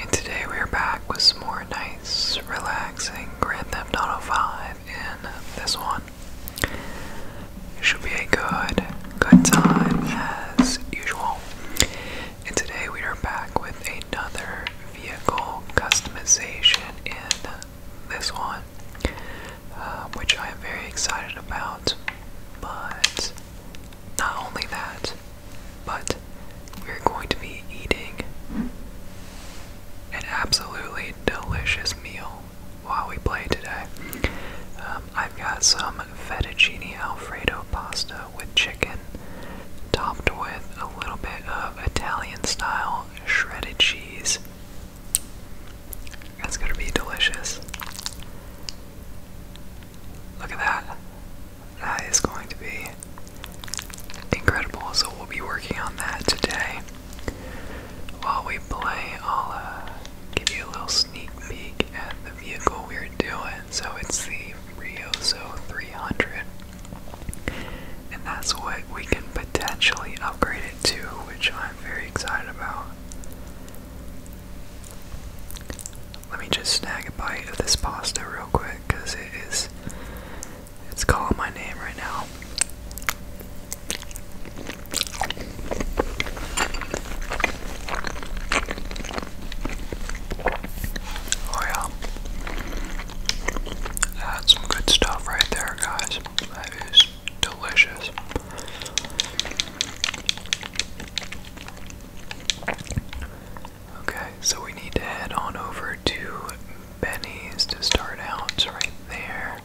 And today we're back with some more nice, relaxing Grand Theft Auto 5 in this one. It should be a good, good time as usual. And today we are back with another vehicle customization in this one, uh, which I am very excited about. But not only that, but we're going to be eating an absolutely delicious meal while we play today. Um, I've got some fettuccine alfredo pasta with chicken, topped with a little bit of Italian style shredded cheese. That's gonna be delicious. Look at that. That is going to be incredible. So we'll be working on that today. While we play, I'll uh, give you a little sneak peek at the vehicle we're doing. So it's the Riozo 300, and that's what we can potentially upgrade it to, which I'm very excited about. Let me just snag a bite of this pasta real quick because it is. It's calling my name right now. Oh, yeah. That's some good stuff right there, guys. That is delicious. Okay, so we need to head on over to Benny's to start out right there.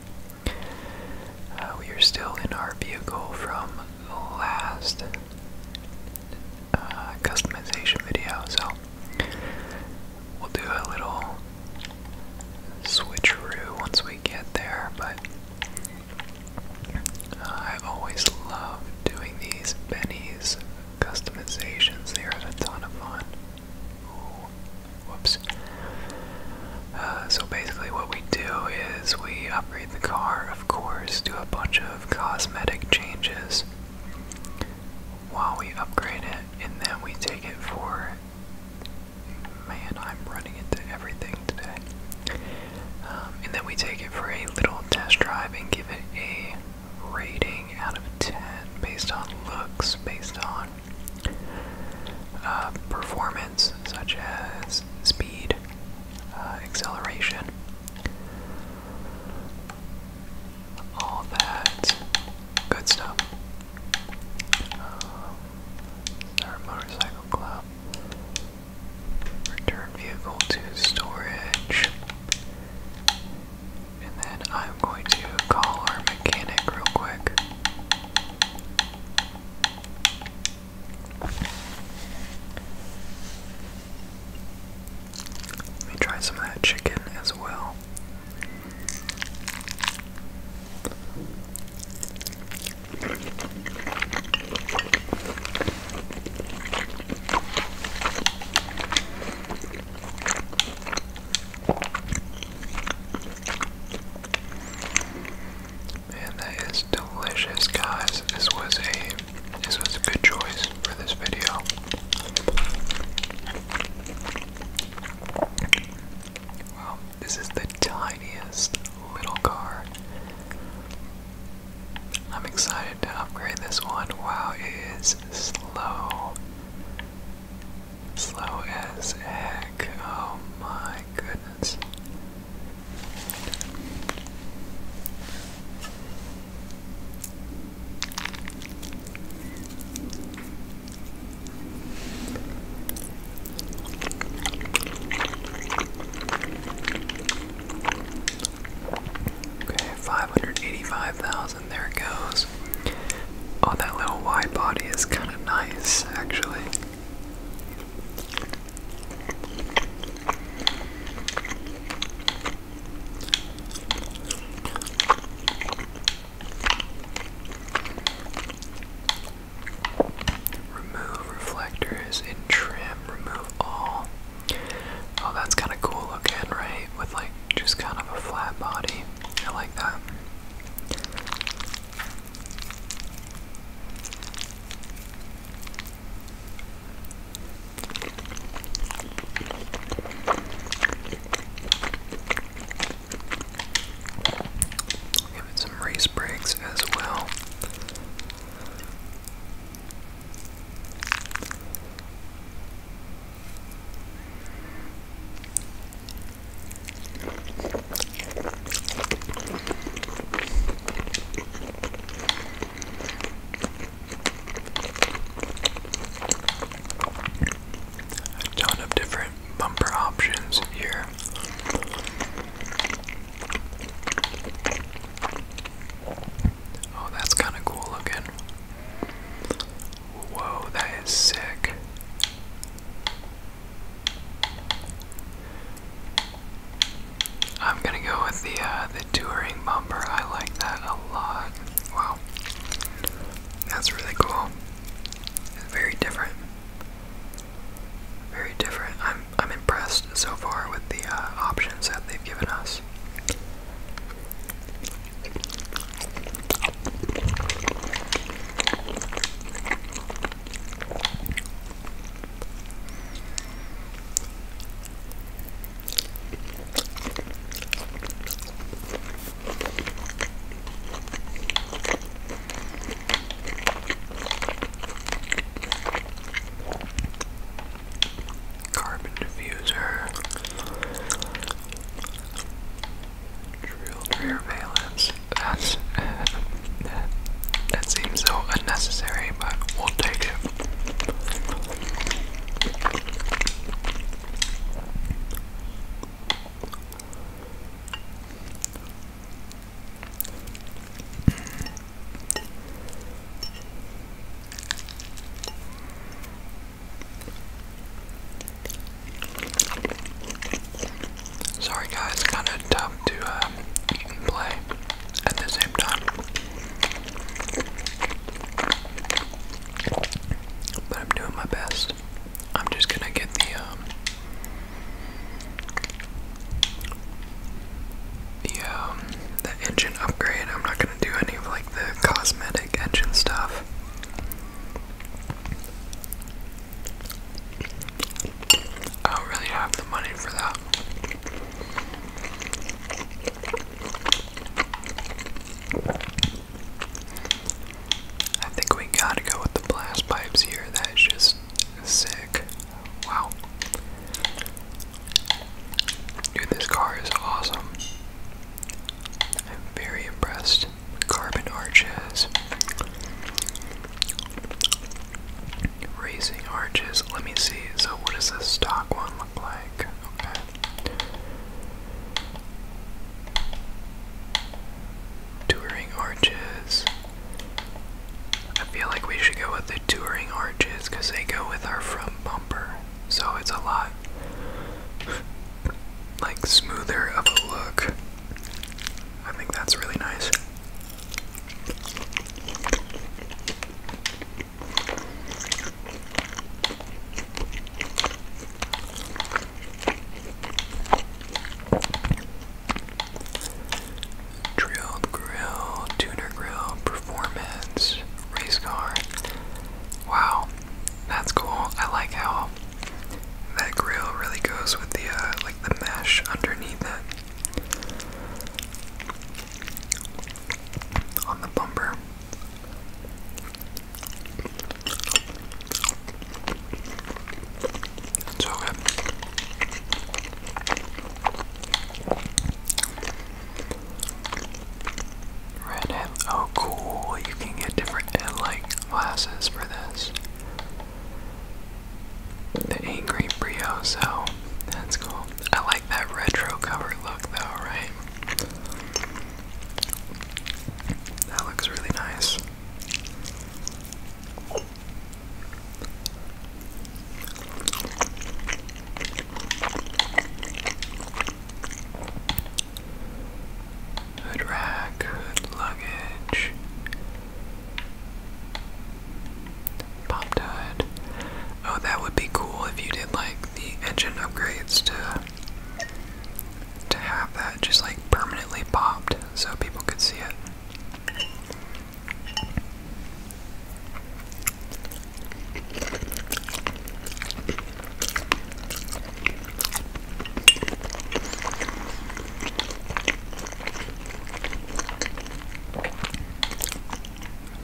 Uh, we are still in our vehicle from the last uh, customization video, so we'll do a little switcheroo once we get there, but I always love doing these Benny's customizations. They are a ton of fun. Ooh, uh, so basically, what we do is we upgrade the car, of course, do a bunch of cosmetic changes while we upgrade it, and then we take it for. Man, I'm running into everything today. Um, and then we take it for a little test drive and give it a rating out of 10 based on looks, based on uh, performance, such as speed, uh, acceleration, all that good stuff. our um, motorcycle club. Return vehicle to storage. And then I'm going to call our mechanic real quick. Let me try some of that chicken as well. Man, that is delicious, guys. This was a this was a good choice for this video. Wow, this is the tiniest little car. I'm excited to upgrade this one. Wow, it is slow. Slow as heck. Oh my goodness. Okay, 585,000, there it goes. Oh, that little wide body is kind of nice, actually. Remove reflectors and trim, remove all. Oh, that's kind of cool looking, right? With like just kind of a flat body. I like that. Give it some race breaks as well. A ton of different bumper options here. Oh, that's kind of cool looking. Whoa, that is sick. I'm gonna go with the uh, the touring bumper. I like that a lot. Wow, that's really cool. It's very different. Very different. I'm impressed so far with the uh, options that they've given us. Carbon diffuser. Drill surveillance. That's that seems so unnecessary, but we'll take it. Sorry guys, kind of tough to uh, play at the same time. But I'm doing my best. I'm just gonna get the um, the engine upgrade. I'm not gonna do any of like the cosmetic engine stuff. I don't really have the money for that. I think we gotta go with the blast pipes here. That is just sick. Wow. Dude, this car is awesome. I'm very impressed. Carbon arches. Raising arches. Let me see. So, what does the stock one look like? Okay. Touring arches. I feel like we should go with the touring arches because they go with our front bumper, so it's a lot like smoother of a look. I think that's really nice. Drilled grill, tuner grill, performance, race car. Wow, that's cool. I like how that grill really goes with the uh, like the mesh underneath it on the bumper. So good. Red head. Oh, cool. You can get different uh, like glasses for this. The Angry Brio, so that's cool. I like that retro cover look, though, right? That looks really nice. Hood rack, hood luggage, popped hood. Oh, that would be cool if you did like the engine upgrades to to have that just like permanently popped so people could see it.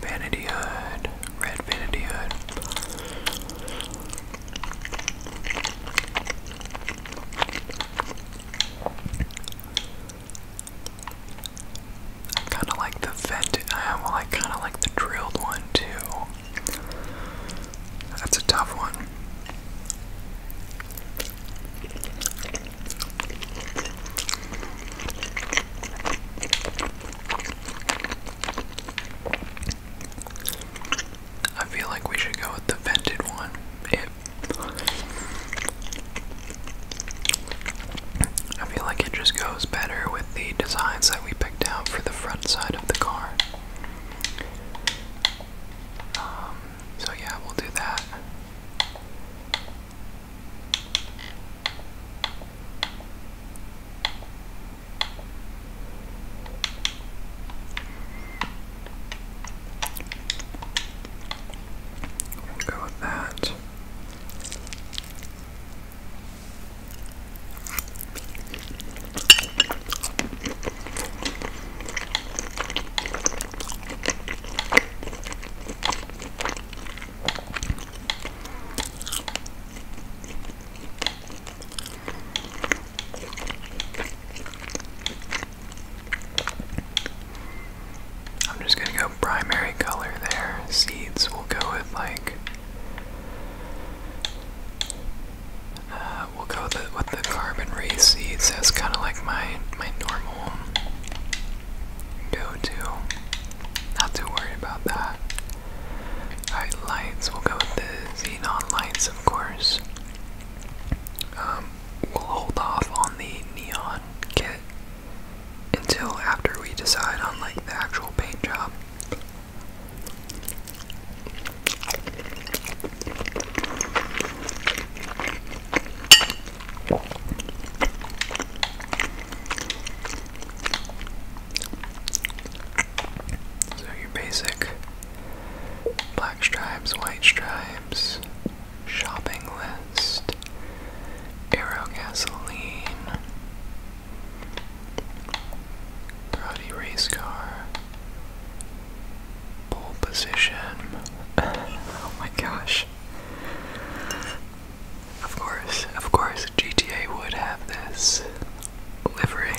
Vanity Hood, Red Vanity Hood. I kind of like the vented. Uh, I kind of like the drilled one too. That's a tough one. I feel like we should go with the vented one. I feel like it just goes better with the designs that we picked out for the front side of the car. Um, so, yeah, we'll do that. We'll go with that. I'm just gonna go primary color there. Seeds will go with like uh, we'll go with the, carbon race seeds. That's kind of like my my normal go-to. Not too worried about that. lights. We'll go with the xenon lights, of course. Um, we'll hold off on the neon kit until after we decide on like the actual paint job. So your basic black stripes, white stripes, shopping list, Aerogasoline, Karate Race Car, Pole Position. oh my gosh. Of course, of course, GTA would have this livery.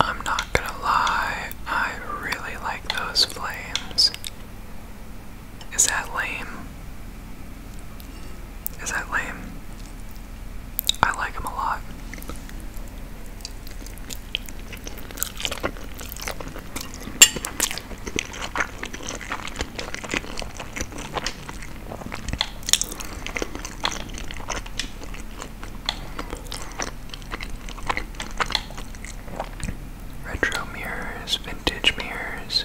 I'm not gonna lie, I really like those flames. Is that lame? Is that lame? I like him a lot. Retro mirrors, vintage mirrors,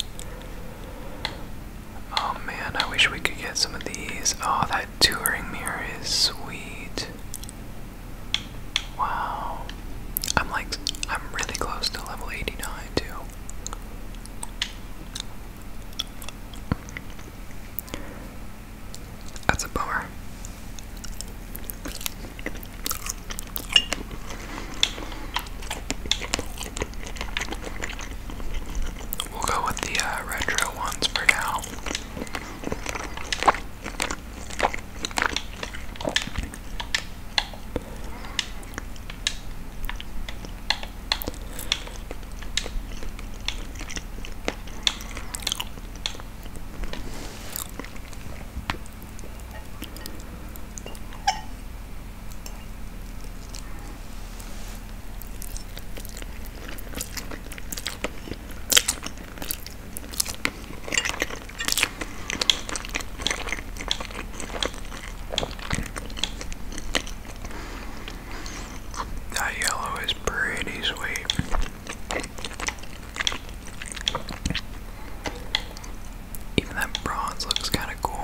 Oh man, I wish we could get some of these. Oh, that touring mirror is sweet. Wow. I'm like, I'm really close to level 89 too. That's a bummer. We'll go with the uh, retro ones for now. That yellow is pretty sweet. Even that bronze looks kind of cool.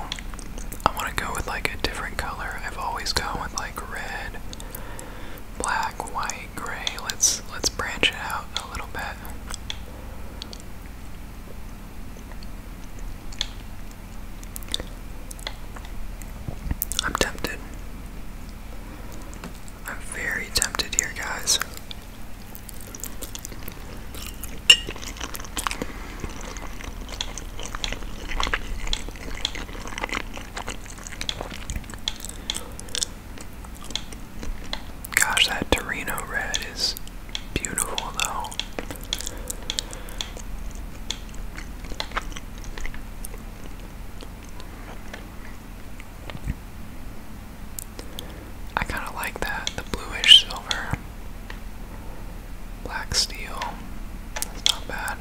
I want to go with like a different color. I've always gone with like like red, black, white, gray. Let's let's branch it out a little bit. I'm tempted. I'm very tempted here, guys. Gosh, that Torino red is beautiful though. I kind of like that, the bluish silver. Black steel. That's not bad.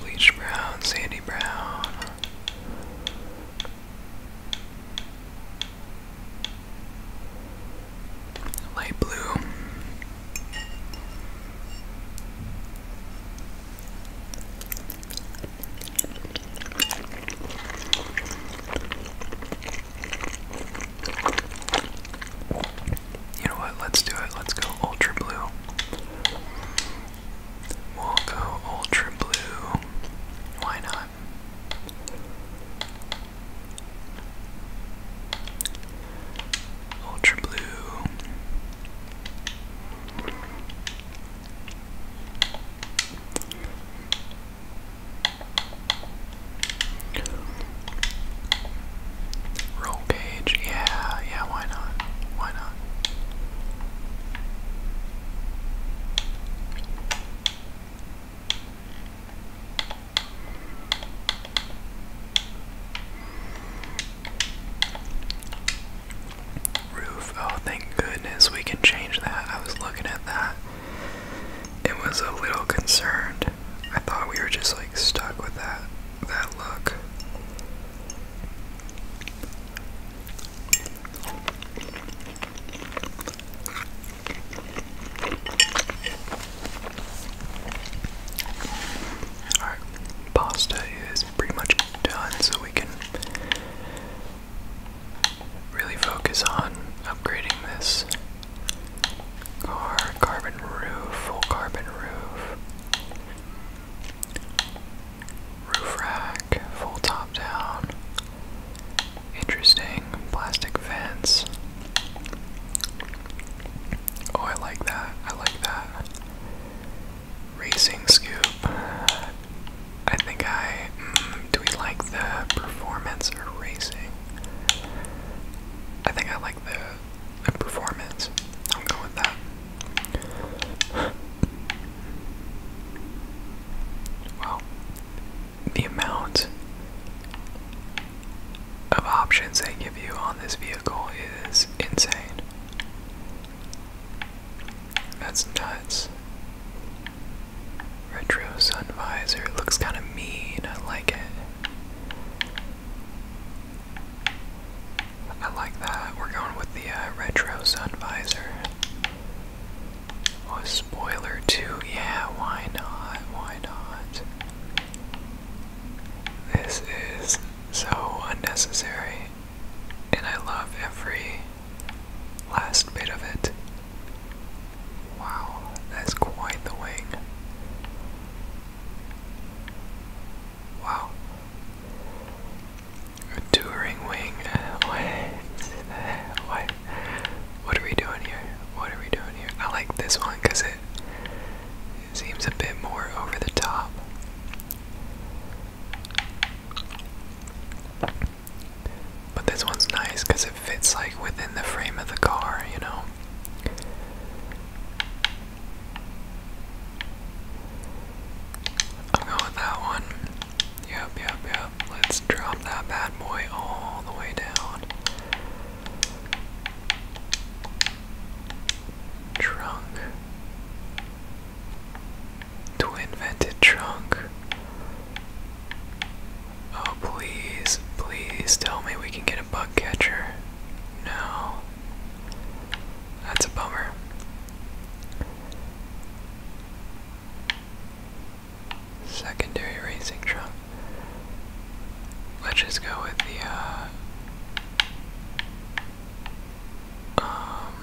Bleach brown, sandy brown. Light blue. You know what? Let's do it. Let's go ultra blue. We'll go ultra blue. Why not? Ultra blue. Roll cage, yeah, yeah, why not? Why not? Roof. Oh, thank goodness we can change that. I was looking at that. It was a little concerned. I thought we were just like stuck with that that look. Alright, pasta is pretty much done, so we can really focus on upgrading this car. Carbon roof, full carbon roof. Roof rack, full top down. Interesting plastic vents. Oh, I like that. I like that. Racing scoop. I think I. Mm, do we like the performance or racing? I think I like the, performance. I'm going with that. Wow. The amount of options they give you on this vehicle is insane. That's nuts. Retro sun visor. It looks kind of mean. I like it. I like that. We're going with the uh, retro sun visor. Oh, spoiler too. Yeah, why not? Why not? This is so unnecessary, and I love every last bit of it. Wow, that's quite the wing. Wow. A touring wing. What? What? What are we doing here? What are we doing here? I like this one because it it seems a bit more over the top. But this one's nice because it fits like within the frame of the car, you know? I'm going with that one. Yep, yep, yep. Let's drop that bad boy all the way down. Trunk. Who invented trunk? Oh, please, please tell me we can get a bug catcher. No. That's a bummer. Secondary racing trunk. Let's just go with the, uh, um,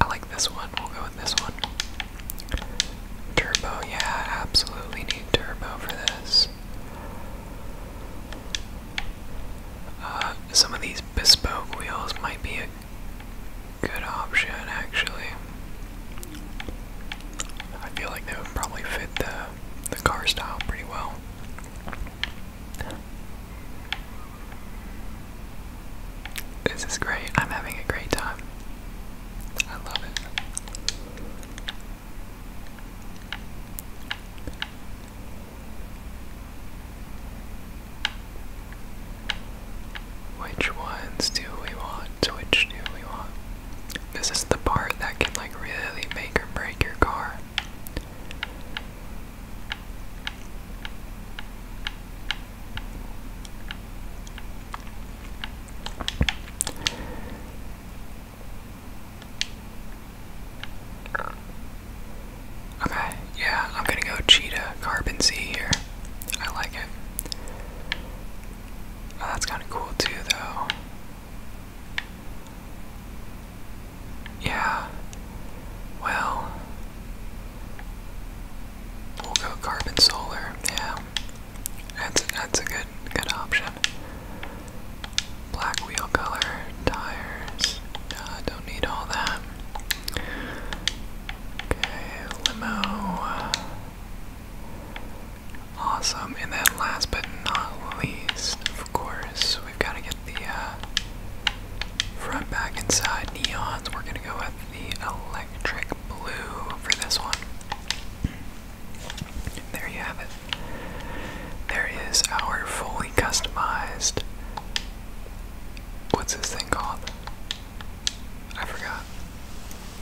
I like this one. We'll go with this one. Turbo, yeah, absolutely need turbo for this. Uh, some of these bespoke wheels might be a good option, actually. I feel like they would probably fit the the car style pretty well. This is great. I'm having a great time. I love it. Which ones do we want? Which do we want? This is the part that can like really make or break your car. Okay, yeah, I'm gonna go cheetah carbon C here. I like it. Oh, that's kind of cool too, though. Yeah. Well. We'll go carbon solar. Yeah. That's that's a good good option. Black wheel color, tires. don't need all that. Okay, limo. Awesome. And then last but not least, of course, we've got to get the uh, front back inside neons. We're going to go with the electric blue for this one. There you have it. There is our fully customized. What's this thing called? I forgot.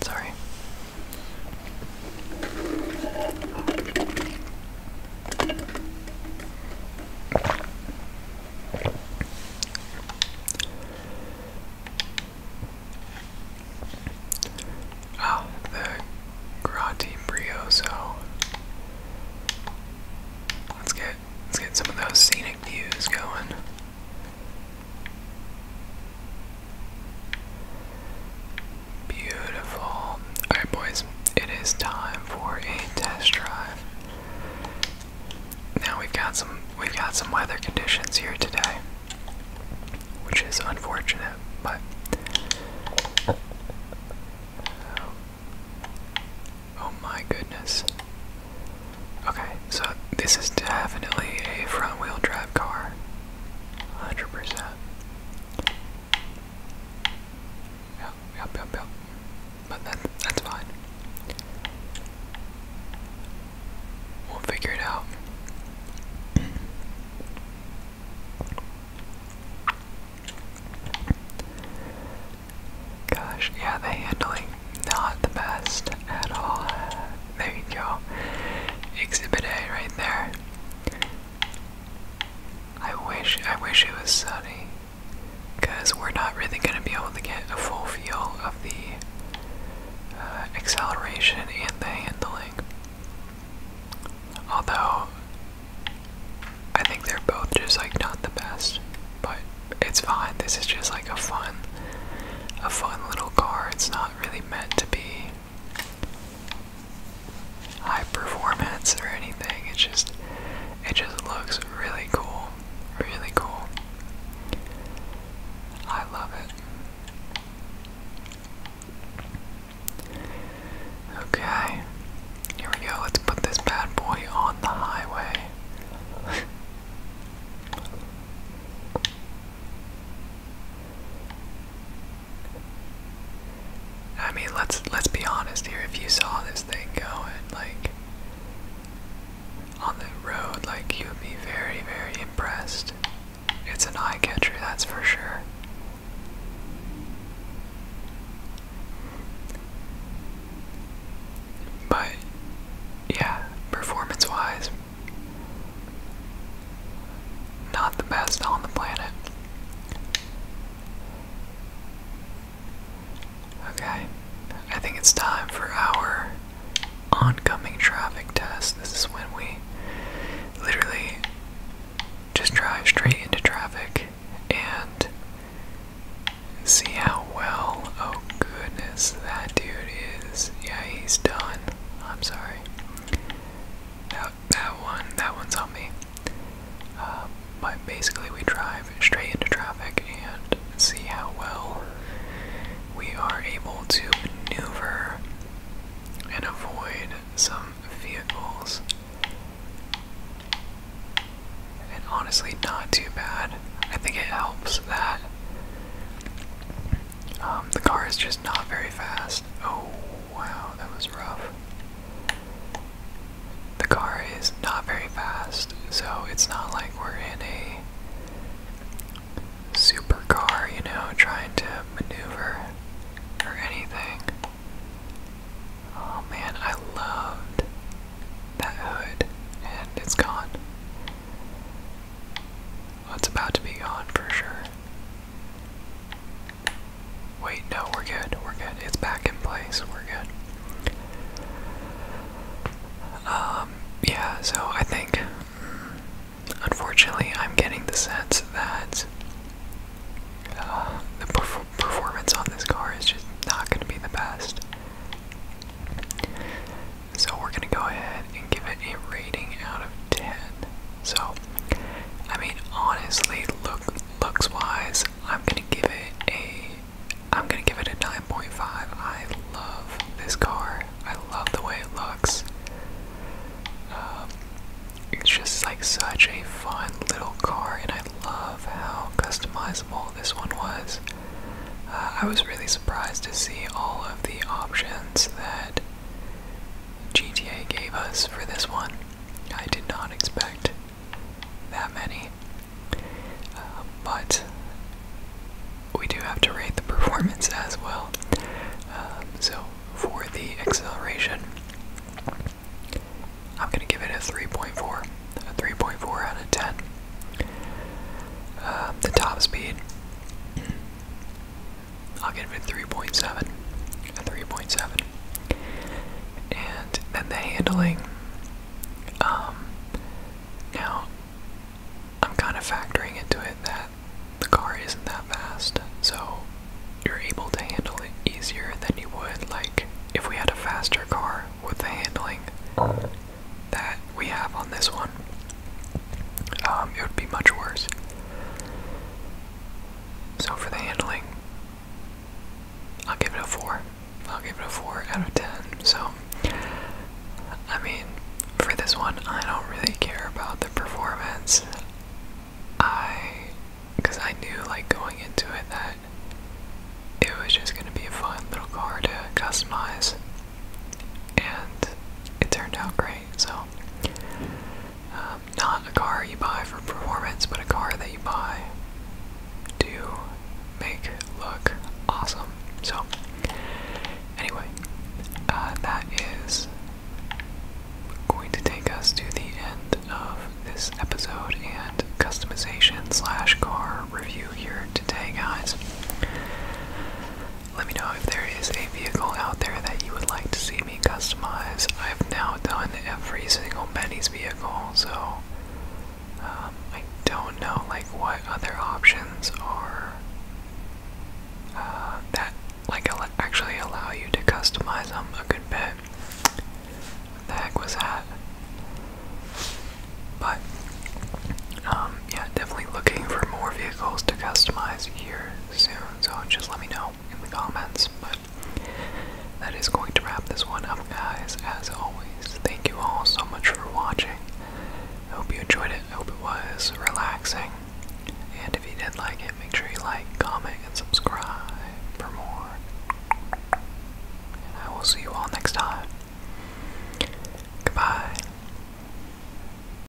Sorry. Oh, the Grati Brioso. Let's get let's get some of those scenic views going. Beautiful. Alright, boys, it is time for a test drive. Now we've got some we've got some weather conditions here today, which is unfortunate, but oh, oh my goodness. Okay, so this is definitely a front wheel drive car. 100%. Yep, yep, yep, yep. But that, that's fine. We'll figure it out. Gosh, yeah, the handling not the best at all. There you go. Exhibit A right there. I wish I wish it was sunny because we're not really going to be able to get a full feel of the uh, acceleration and the handling. Although I think they're both just like not the best, but it's fine. This is just like a fun, a fun little car. It's not really meant to be high performance or anything. It just it just looks really cool. Really cool. I love it. Okay. Here we go. Let's put this bad boy on the highway. I mean, let's let's be honest here. If you saw this thing going like on the road, like you'd be very, very impressed. It's an eye catcher, that's for sure. But yeah, performance-wise, not the best on the planet. Okay, I think it's time for our oncoming traffic test. This is when we literally just drive straight into traffic and see how well. Oh, goodness, that dude is. Yeah, he's done. I'm sorry. That that one that one's on me. Um, but basically, we drive straight into traffic and see how well we are able to maneuver and avoid some vehicles. And honestly, not too bad. I think it helps that um, the car is just not very fast. Oh, wow, that was rough. The car is not very fast, so it's not like we're in a supercar, you know, trying to maneuver or anything. Oh man, I loved that hood, and it's gone. Well, it's about to be gone for sure. Wait, no, we're good. We're good. It's back in place. We're good. Um, yeah, so I think, unfortunately, I'm getting the sense that uh, the performance on this car is just not going to be the best. So we're going to go ahead and give it a rating out of 10. So, I mean, honestly, look, looks wise, I'm gonna give it a, I'm gonna give it a 9.5. I love this car. I love the way it looks. Um, it's just like such a fun little car, and I love how customizable this one was. Uh, I was really surprised to see all of the options that GTA gave us for this one. I did not expect that many. Um, but we do have to rate the performance as well. Um, so for the acceleration, I'm going to give it a 3.4. A 3.4 out of 10. Um, the top speed, I'll give it a 3.7. A 3.7. And then the handling. Um, now, I'm kind of factoring into it that the car isn't that fast, so you're able to handle it easier than you would, like, if we had a faster car with the handling that we have on this one. Um, it would be much worse. So for the handling, I'll give it a 4. I'll give it a 4 out of 10. So, I mean, for this one, I don't really care about the performance. I. Because I knew, like, going into it that it was just going to be a fun little car to customize. And it turned out great, so um, not a car you buy for performance, but a car that you buy to make look awesome. So, anyway, uh, that is going to take us to the end of this episode and customization slash car review here today, guys. Let me know if there is a vehicle out there that you would like to see me customize. I've now done every single Betty's vehicle, so um, I don't know like what other options are uh, that like actually allow you to customize them a good bit. What the heck was that? But um, yeah, definitely looking for more vehicles to customize here soon so just let me know in the comments. But that is going to wrap this one up, guys. As always, thank you all so much for watching. I hope you enjoyed it. I hope it was relaxing. And if you did like it, make sure you like, comment, and subscribe for more. And I will see you all next time. Goodbye.